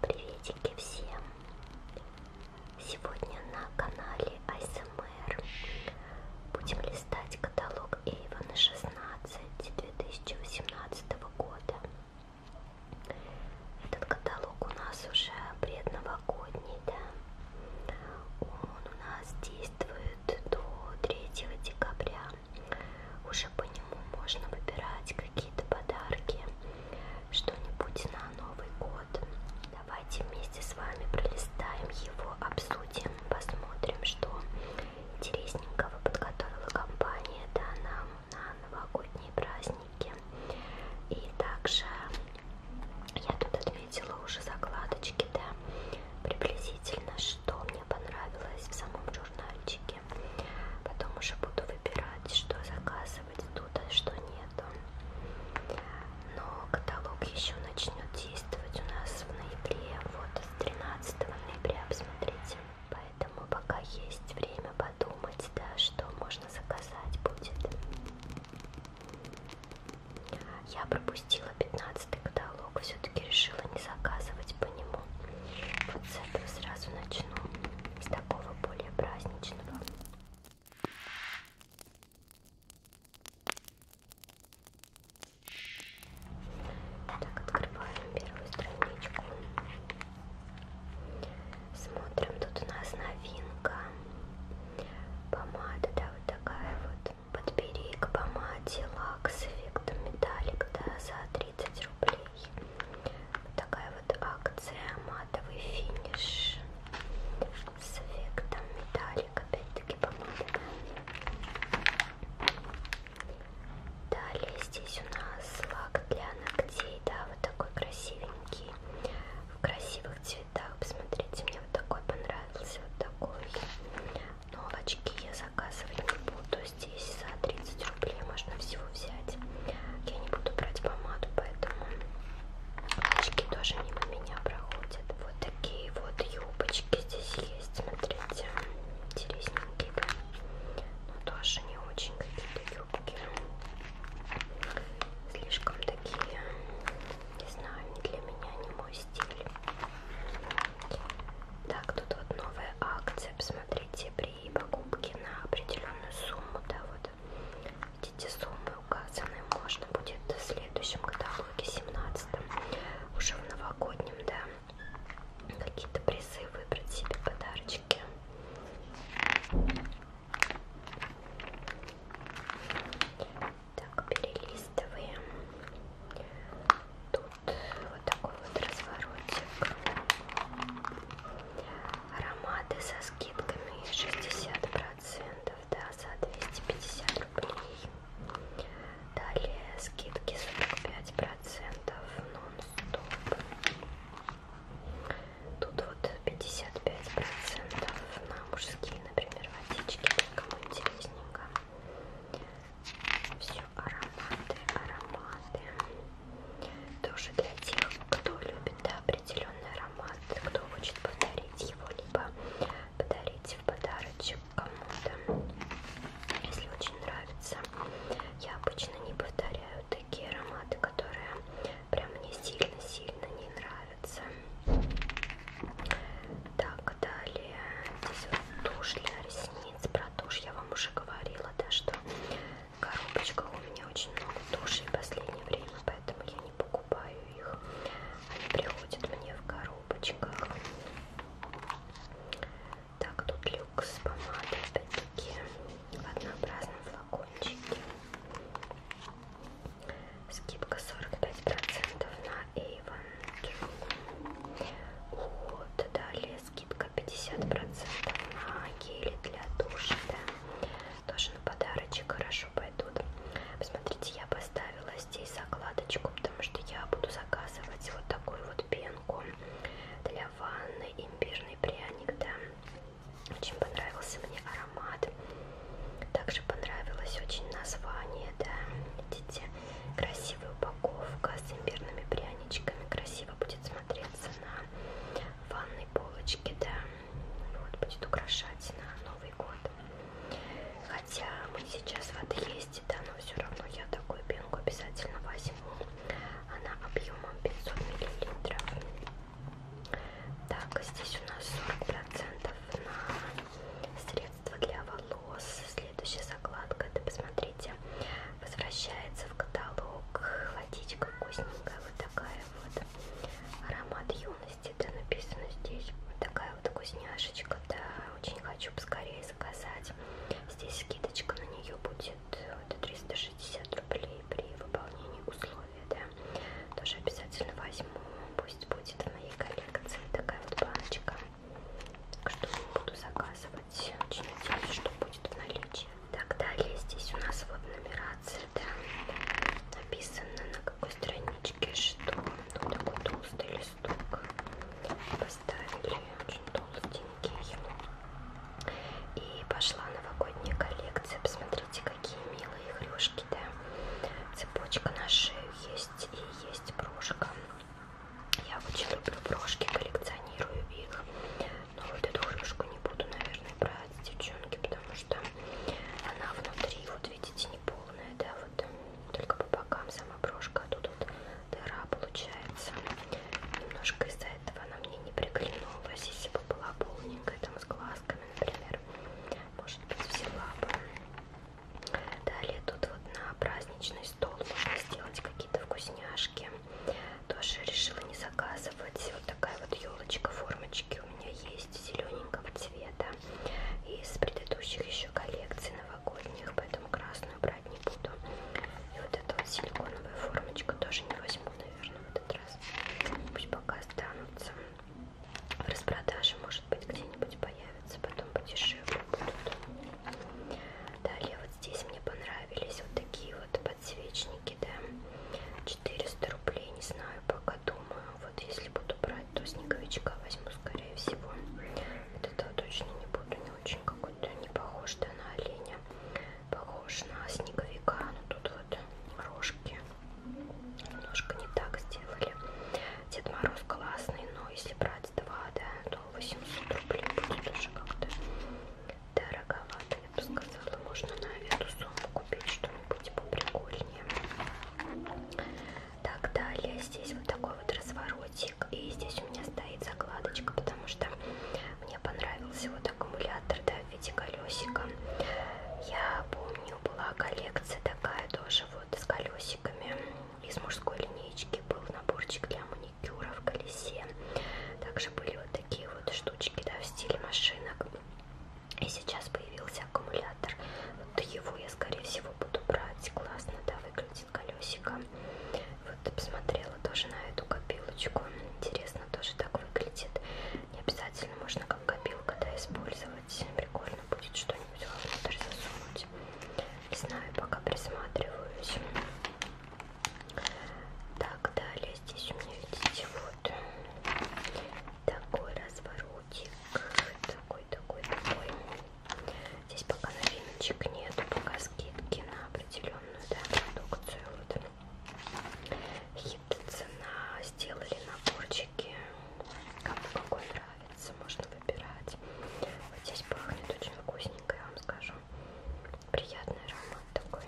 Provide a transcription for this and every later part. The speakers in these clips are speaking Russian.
Приветики всем! Сегодня на канале АСМР будем листать каталог Эйвона 16 2018 года. Этот каталог у нас уже предновогодний, да? Он у нас действует до 3 декабря. Уже по нему можно выбирать какие-то подарки, что-нибудь на Новый год. Давайте вместе с вами пролистаем его, обсудим, посмотрим, что интересненького подготовила компания да, нам на новогодние праздники. И также я тут отметила уже закладочки, да, приблизительно, что мне понравилось в самом журнальчике. Потом уже буду выбирать, что заказывать тут, а что нету. Но каталог еще начнет действовать у нас в ноябре, вот с 13 ноября, посмотрите. Поэтому пока есть время подумать, да, что можно заказать будет. Я пропустила 15 каталог диалог все-таки решила не заказывать по нему. Вот с этого сразу начну, с такого более праздничного. Так, открываем первую страничку. Смотрим, тут у нас новинка. Помада, да, вот такая вот. Подбери к помаде лак с эффектом металлик, да, за 30 рублей. Такая вот акция матовый финиш с эффектом металлик, опять-таки помада. Далее здесь у нас лак для ногтей, да, вот такой красивенький, в красивых цветах. Посмотрите, мне вот такой понравился, вот такой. Но очки я заказывать не буду. Здесь за 30 рублей можно всего взять. Я не буду брать помаду, поэтому очки тоже мимо меня проходят. Вот такие вот юбочки здесь есть. Смотрите, интересненькие. Да? Но тоже не очень какие-то юбки. Слишком такие, не знаю, не для меня, не мой стиль. Так, тут вот новая акция, посмотрите, при покупке на определенную сумму, да, вот эти суммы указаны, можно будет в следующем каталоге, 17 уже в новогоднем, да, какие-то призы выбрать себе подарочки. Так, перелистываем. Тут вот такой вот разворотик. Ароматы со скидками 60%, да, за 250 рублей. Далее скидки 45% нон-стоп. Тут вот 55% на мужские, например, водички, кому интересненько. Все еще ароматы, ароматы. Тоже для тех, кто любит да, определенный аромат, кто хочет повторить его, либо подарить в подарочек кому-то. Если очень нравится, я обычно не повторяю такие ароматы, которые прям мне сильно-сильно не нравятся. Так, далее. Здесь вот тушь для ресниц, правда, тушь. Я вам уже говорила, да, что в коробочках у меня очень много тушей в последнее время, поэтому я не покупаю их. Они приходят мне в коробочках. Так, тут люкс помада, опять-таки, в однообразном флакончике. Скидка 45% на Avon. Вот, далее скидка 50% на гели для душа, да. Тоже на подарочек хорошо пойдут. Посмотрите, я поставила здесь закладочку, потому что я буду заказывать вот такую вот пенку для ванны, имбирный пряник, да. Очень понравился мне аромат. Также понравилось очень название цвета. Видите, красивая упаковка с имбирными пряничками. Красиво будет смотреться на ванной полочке, да. Вот, будет украшать на Новый год. Хотя мы сейчас в отъезде, да, но все равно я такую пенку обязательно возьму. Она объемом 500 мл. Так, здесь у нас 40% на средства средство для волос. Следующая закладка, это посмотрите, возвращается в каталог. Водичка вкусненькая, вот такая вот. Аромат юности, да, написано здесь. Вот такая вот вкусняшечка, да, очень хочу поскорее заказать. Здесь скидочка на нее будет вот, 360 рублей при выполнении условий, да. Тоже обязательно возьму, пусть будет в моей коллекции такая вот баночка. Так что не буду заказывать. Очень надеюсь, что будет в наличии. Так, далее здесь у нас вот нумерация, да, написано на какой страничке, что тут такой толстый листок поставили, очень толстенький. И пошла новогодняя коллекция, посмотрите, какие милые игрушки, да, цепочка на шею есть и есть брошка. Я очень люблю брошки, коллекционирую их. Но вот эту крышку не буду, наверное, брать, девчонки, потому что она внутри, вот видите, не полная, да, вот только по бокам сама брошка, а тут вот дыра получается. Немножко из-за этого она мне не приглянулась, если бы была полненькая, там с глазками, например, может быть, взяла бы. Далее тут вот на праздничный стол можно сделать какие-то вкусняшки. Тоже решила не заказывать. Вот такая вот елочка формочки у меня есть зелененького цвета. Из предыдущих еще коллекций новогодних, поэтому красную брать не буду. И вот эта вот силиконовая формочка тоже не возьму, наверное, в этот раз. Пусть пока останутся. В распродаже, может быть, где-нибудь появится понравится, потом подешевле будут. Далее вот здесь мне понравились вот такие вот подсвечники, да, 400 рублей, не знаю, пока думаю. Вот если буду брать, то снеговичка возьму, скорее всего. Вот этого точно не буду, не очень какой-то, не похож, да, на оленя. Похож на снеговика, но тут вот рожки немножко не так сделали. Дед Мороз классный, но если брать два, да, то 800 рублей будет уже как-то дороговато, я бы сказала. Можно на эту сумму купить что-нибудь поприкольнее. Так, далее здесь вот такой вот разворотик. И здесь у меня стоит закладочка, потому что мне понравился вот аккумулятор, да, в виде колесика. Я помню, была коллекция такая тоже вот с колесиками. Из мужской линейки был наборчик для маникюра в колесе. Также были вот такие вот штучки, да, в стиле машинок. И сейчас появился аккумулятор. Вот его я, скорее всего, буду брать. Классно, да, выглядит колесико. Вот посмотрела тоже на эту копилочку. Интересно, тоже так выглядит. Не обязательно можно как копилка, да, использовать сделать. Прикольно будет что-нибудь внутрь засунуть. Не знаю, пока присматриваюсь. Так, далее здесь у меня, видите, вот такой разворотик. Такой, такой, такой. Здесь пока новиночек нету, пока скидки на определенную да, продукцию. Вот. Хит цена сделали наборчики. Кому какой нравится нравится, можно выбирать. Вот здесь пахнет очень вкусненько, я вам скажу. Приятный аромат такой.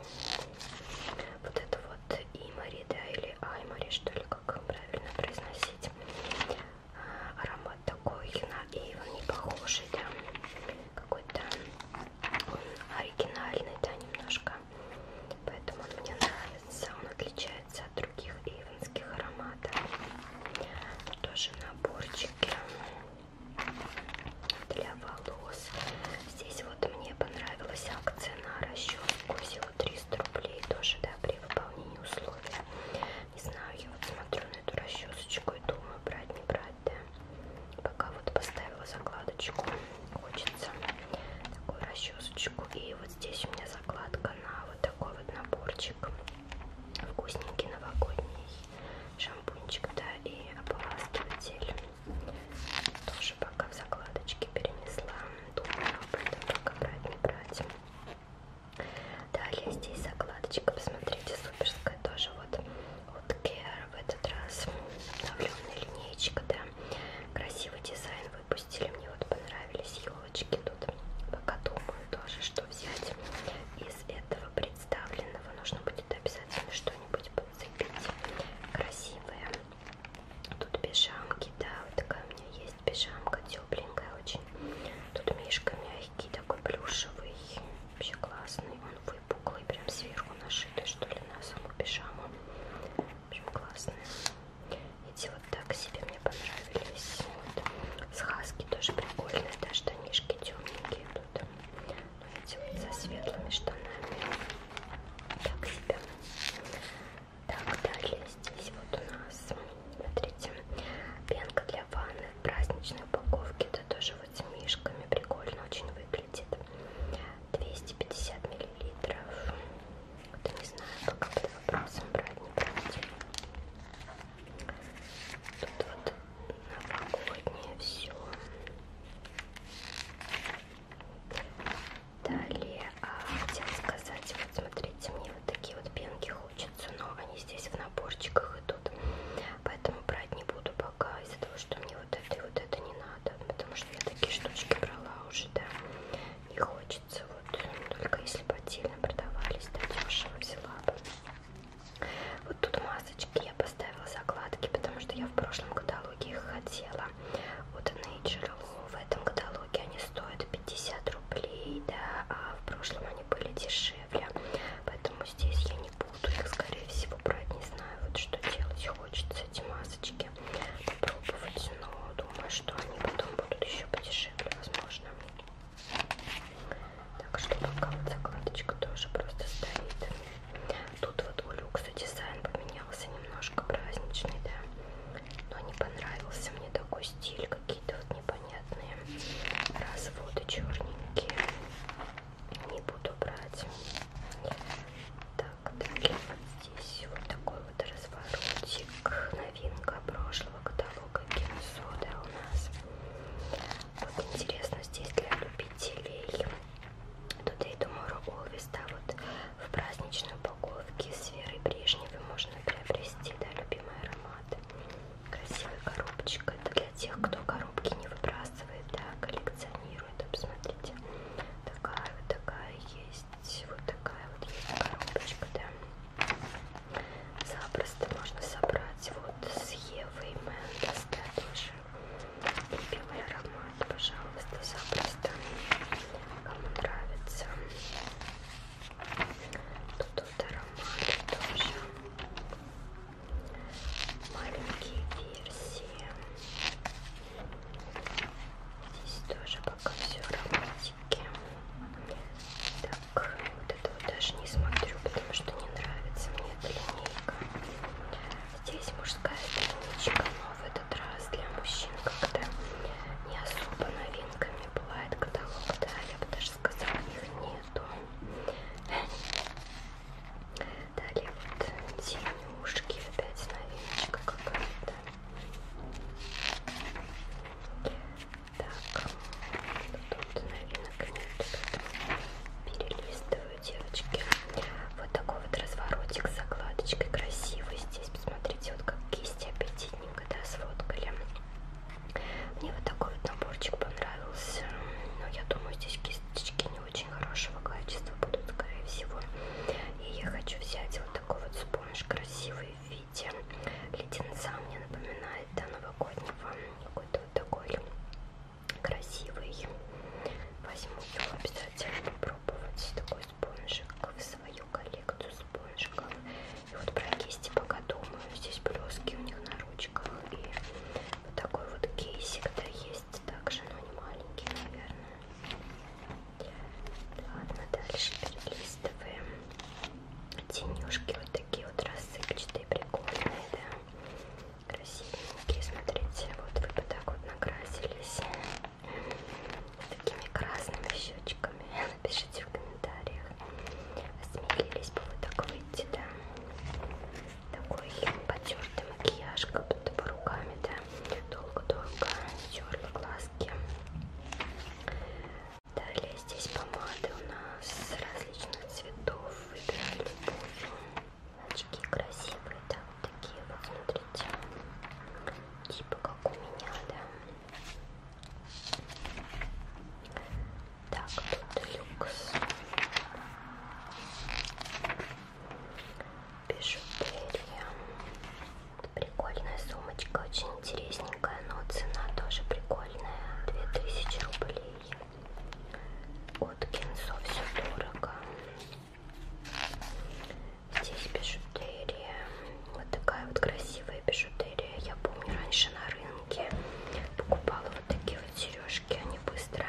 Вот это вот имари, да, или аймари, что ли, как правильно произносить. А, аромат такой на Эйвен не похожий, да. Какой-то он оригинальный, да, немножко. Поэтому он мне нравится, он отличается отличается от других ивенских ароматов. Тоже наборчики для волос. Здесь вот мне понравилась акция на расческу. Всего 300 рублей тоже, да, при выполнении условий. Не знаю, я вот смотрю на эту расчесочку и думаю, брать, не брать, да. Пока вот поставила закладочку. Хочется такую расчесочку. И вот здесь у меня закладка ссылка на вот такой вот наборчик вкусненький новогодний шампунчик, да, и ополаскиватель. Тоже пока в закладочке перенесла. Думаю об этом пока брать не брать. Далее здесь закладочка, посмотрите, суперская тоже вот от Care в этот раз обновленная линеечка, да. Красивый дизайн выпустили. Мне вот понравились елочки тут. Пока думаю тоже, что взять. Из этого представленного нужно будет обязательно что-нибудь подцепить. Красивое. Тут пижамки, да, вот такая у меня есть пижамка, тепленькая очень. Тут мишка мягкий, такой плюшевый, вообще классный. Он выпуклый, прям сверху нашитый, что ли, на саму пижаму. В общем, классный. Эти вот так себе мне понравились. Вот. С хаски тоже прикольные, да, штанишки темненькие идут. Но ну, эти вот со светлыми штанами. Так себе. Так, далее здесь вот у нас, смотрите, пенка для ванны в праздничной упаковке. Это тоже вот с мишками прикольно очень выглядит. 250 миллилитров. Вот не знаю, пока под вопросом брать, не брать. Тут вот новогоднее все. Далее, а, хотела сказать, вот смотрите, мне вот такие вот пенки хочется, но они здесь в наборчиках идут, поэтому брать не буду пока из-за того, что мне вот это и вот это не надо, потому что я такие штучки брала уже, да, не хочется хочется. Вот э, только если бы отдельно продавались, да дешево взяла бы. Вот тут масочки я поставила закладки, потому что я в прошлом каталоге их хотела. Вот Nature в этом каталоге они стоят 50 рублей, да, а в прошлом они были дешевле. Поэтому здесь я не буду их, скорее всего, брать. Не знаю, вот что делать хочется эти масочки попробовать, но думаю, что они потом будут еще подешевле, возможно. Так что пока вот закладочка тоже просто стоит. Тут вот у люкса дизайн поменялся немножко праздничный, да. Но не понравился мне такой стиль, какие-то вот непонятные разводы черненькие. Не буду брать. Так, так, далее вот здесь вот такой вот разворотик. Новинка прошлого каталога Кинсода у нас. Вот интересно, здесь для любителей. Тут и Tomorrow Always, да, вот в праздничной упаковке с Верой Брежневой можно приобрести, да, любимый аромат. Красивая коробочка. Это для тех, кто коробки не выбрасывает, да, коллекционирует. Посмотрите, такая вот такая есть есть вот такая вот есть коробочка, да. Запросто можно собрать вот с Евой Мендес, да, тоже любимый аромат, пожалуйста, запросто, кому нравится. Тут вот ароматы тоже, маленькие версии. Здесь тоже пока все романтики. Так, вот это вот даже не смотрю, потому что не нравится мне эта линейка. Здесь мужская страничка, но в этот раз для мужчин как-то не особо новинками бывает каталог, да, я бы даже сказала, их нету. Далее вот синюшки, опять новиночка какая-то. Так, тут новинок нет, перелистываю, девочки. Вот такой вот разворотик с закладочкой красивый. Здесь, посмотрите, вот как кисти аппетитненько, да, сфоткали. Мне вот такой вот наборчик понравился. Но я думаю, здесь кисточки не очень хорошего качества будут, скорее всего. И я хочу взять вот такой вот спонж красивый в виде леденца. Мне напоминает до новогоднего какой-то вот такой красивый. Возьму его обязательно попробовать. Такой спонжик в свою коллекцию спонжиков. И вот про кисти пока думаю. Здесь блески у них на ручках. И вот такой вот кейсик-то есть также, но не маленький, наверное. Ладно, ну, а дальше перелистываем. Тенюшки вот такие вот рассыпчатые, прикольные, да. Красивенькие, смотрите, вот вы бы так вот накрасились. С такими красными щечками. Напишите в комментариях. Осмелились бы вы так выйти, да. Такой потертый макияж, как будто бы руками, да это долго-долго терла глазки. Далее здесь помады у нас различных цветов. Выбирали любую. Очки красивые, да, вот такие вот, смотрите. Типа как у меня, да. Так, тут люкс бижутерия. Прикольная сумочка, очень интересненькая, но цена тоже прикольная. 2000 рублей. От Кинсо все дорого. Здесь бижутерия. Вот такая вот красивая бижутерия. Я помню, раньше на рынке покупала вот такие вот сережки. Они быстро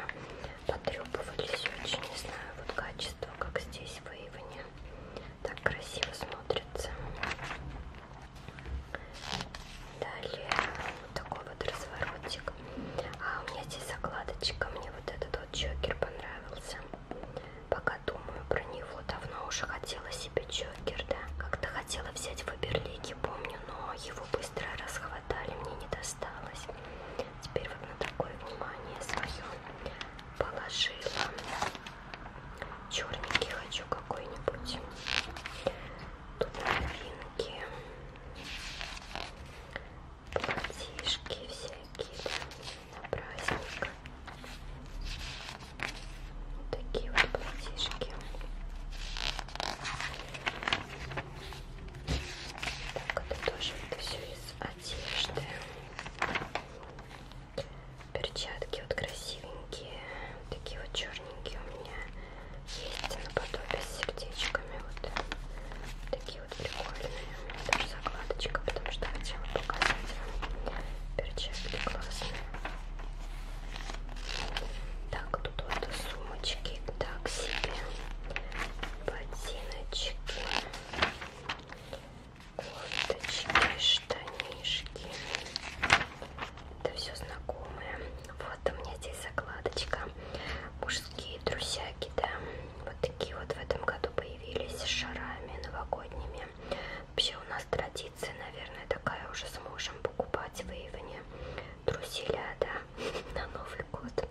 потребовались очень, не знаю, вот качество Смотрите то, как здесь выявление так красиво смотрится. Далее вот такой вот разворотик. А у меня здесь закладочка. Мне вот этот вот чокер понравился. Пока думаю про него. Давно уже хотела себе чокер, да. Как-то хотела взять в Берлике, помню, но его быстро расхватали, мне не досталось. Теперь вот на такое внимание свое положила. Черненький хочу какой-нибудь. Тут новинки. Платишки всякие, да, на праздник. Вот такие вот платишки. Так, это тоже это все из одежды. Перчатки вот красивенькие, такие вот черненькие у меня есть наподобие с сердечками, вот такие вот прикольные, даже закладочка, потому что хотела показать вам перчатки классные. Так, тут вот сумочки, так себе ботиночки. Курточки, штанишки. Это все знакомое. Вот у меня здесь закладочка. Мужские трусяки, да. Вот такие вот в этом году появились с шарами новогодними. Вообще у нас традиция, наверное, такая уже с мужем покупать выявление труселя, да, на Новый год.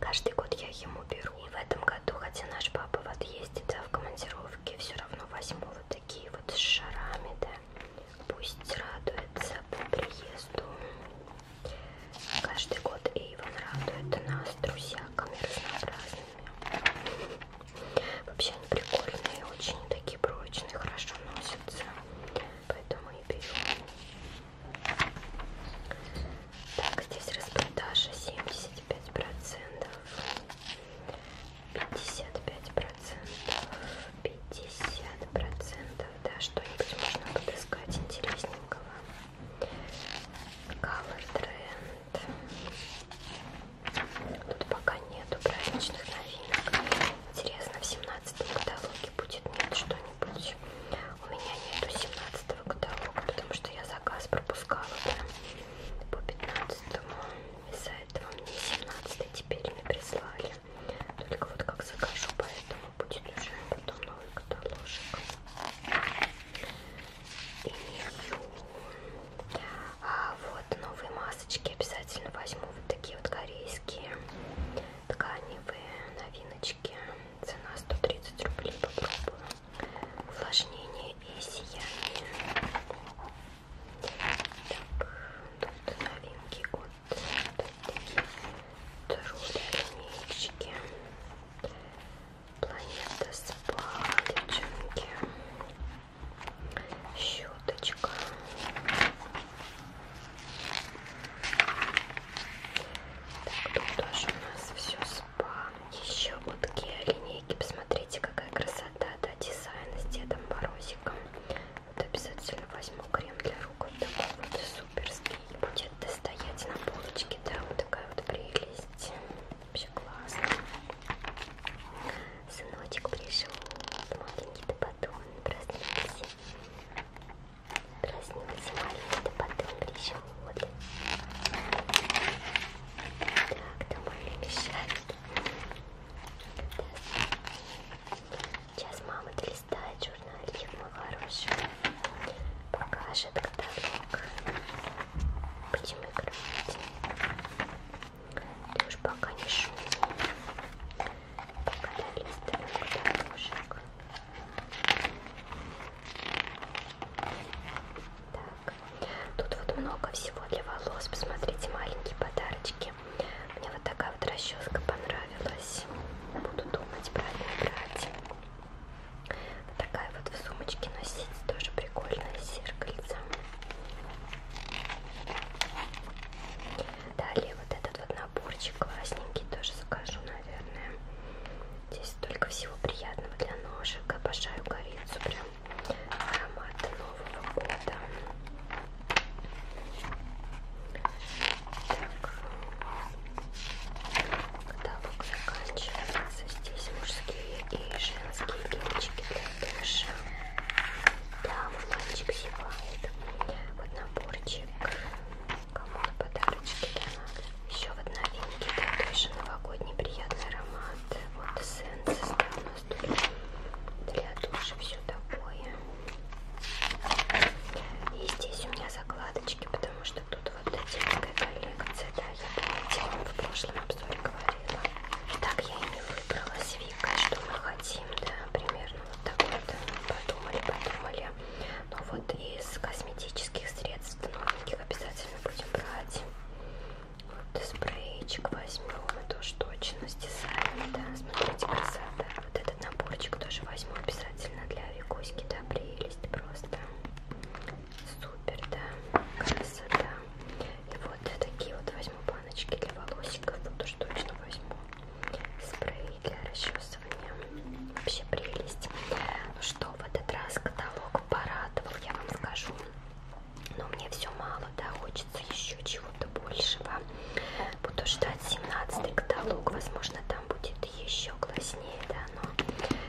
Каждый год я ему беру. И в этом году, хотя наш папа вот ездит да, в командировке, все равно возьму вот такие вот с шарами, да. Пусть радуется по приезду. Каждый год Эйвен радует нас друзьяками разнообразными. Вообще они прикольные, очень такие прочные, хорошо носятся. Поэтому и берем. Так, здесь распродажа 75 процентов, 55 процентов, 50 процентов. Да, что-нибудь можно подыскать интересненького. Color Trend. Тут пока нету праздничных новинок. Интересно, в 17 каталоге будет нет что-нибудь быть. У меня нету 17 каталога, потому что я заказ пропускала прям по 15 из-за этого мне 17 теперь не прислали. Только вот как закажу, поэтому будет уже потом новый каталожик. И а вот новые масочки обязательно возьму. Вот такие вот корейские тканевые новиночки. Цена 130 рублей. Попробую. Увлажнение и сияние. Так, тут новинки от труднички. Планета спа, девчонки. Щеточка. Так, тут тоже у нас все спа. Еще вот Kia линейки. Посмотрите, какая красота, да, дизайн с Дедом Морозиком. Вот обязательно возьму крем для рук. Вот такой вот суперский. Будет достоять на полочке, да, вот такая вот прелесть. Вообще классно. Сыночек пришел. Маленький ты потом проснулся. Красненький самолет потом еще воды. Так, домой шарики. Сейчас мама листает журнальчик мой хороший. Покажет каталог. Почему играть? Ты уж пока не шуми. Пока я листаю каталожек. Так, тут вот много всего для волос. Посмотрите, маленькие подарочки. Мне вот такая вот расческа понравилась. Буду думать, правильно брать. Вот такая вот в сумочке носить тоже прикольное зеркальце. Далее вот этот вот наборчик классненький тоже закажу, наверное. Здесь столько всего приятного для ножек. Обожаю корицу, прям аромат Нового года. Так. Каталог заканчивается. Здесь мужские и женские гелечки для душа. Да, мой мальчик зевает. Вот наборчик Кому на подарочки, да, надо. Еще вот новинки, да, тоже новогодний приятный аромат. Вот эссенция, да, у нас тут для души все такое. И здесь у меня закладочки, потому что тут вот детская коллекция, да, я помните, в прошлом обзоре говорила. Так я и не выбрала с Викой, что мы хотим, да, примерно вот так вот подумали, подумали. Но вот из косметических средств новеньких обязательно будем брать. Вот спрейчик возьмем, это уж точно с дизайном, да, смотрите, красота. Вот этот наборчик тоже возьму обязательно для Викуськи, да, прелесть просто. Супер, да, красота. И вот такие вот возьму баночки для волосиков, вот уж точно возьму спрей для расчесывания. Вообще прелесть. Ну что, в этот раз каталог порадовал, я вам скажу. Но мне все мало, да, хочется еще чего-то большего. Буду ждать 17 каталог, возможно, там будет еще класснее, да, но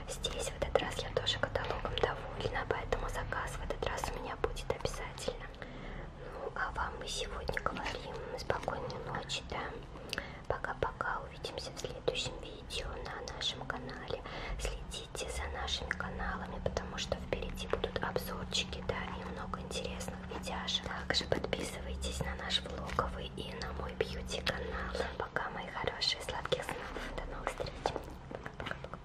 здесь в этот раз я тоже каталогом довольна, поэтому заказ в этот раз у меня будет обязательно. Ну, а вам мы сегодня говорим спокойной ночи, да, Пока-пока, увидимся в следующем видео на нашем канале. Следите за нашими каналами, потому что впереди будут обзорчики, да, и много интересных видяшек. Также подписывайтесь на наш влоговый а и на мой бьюти-канал. Пока, мои хорошие, сладких снов. До новых встреч. Пока-пока-пока.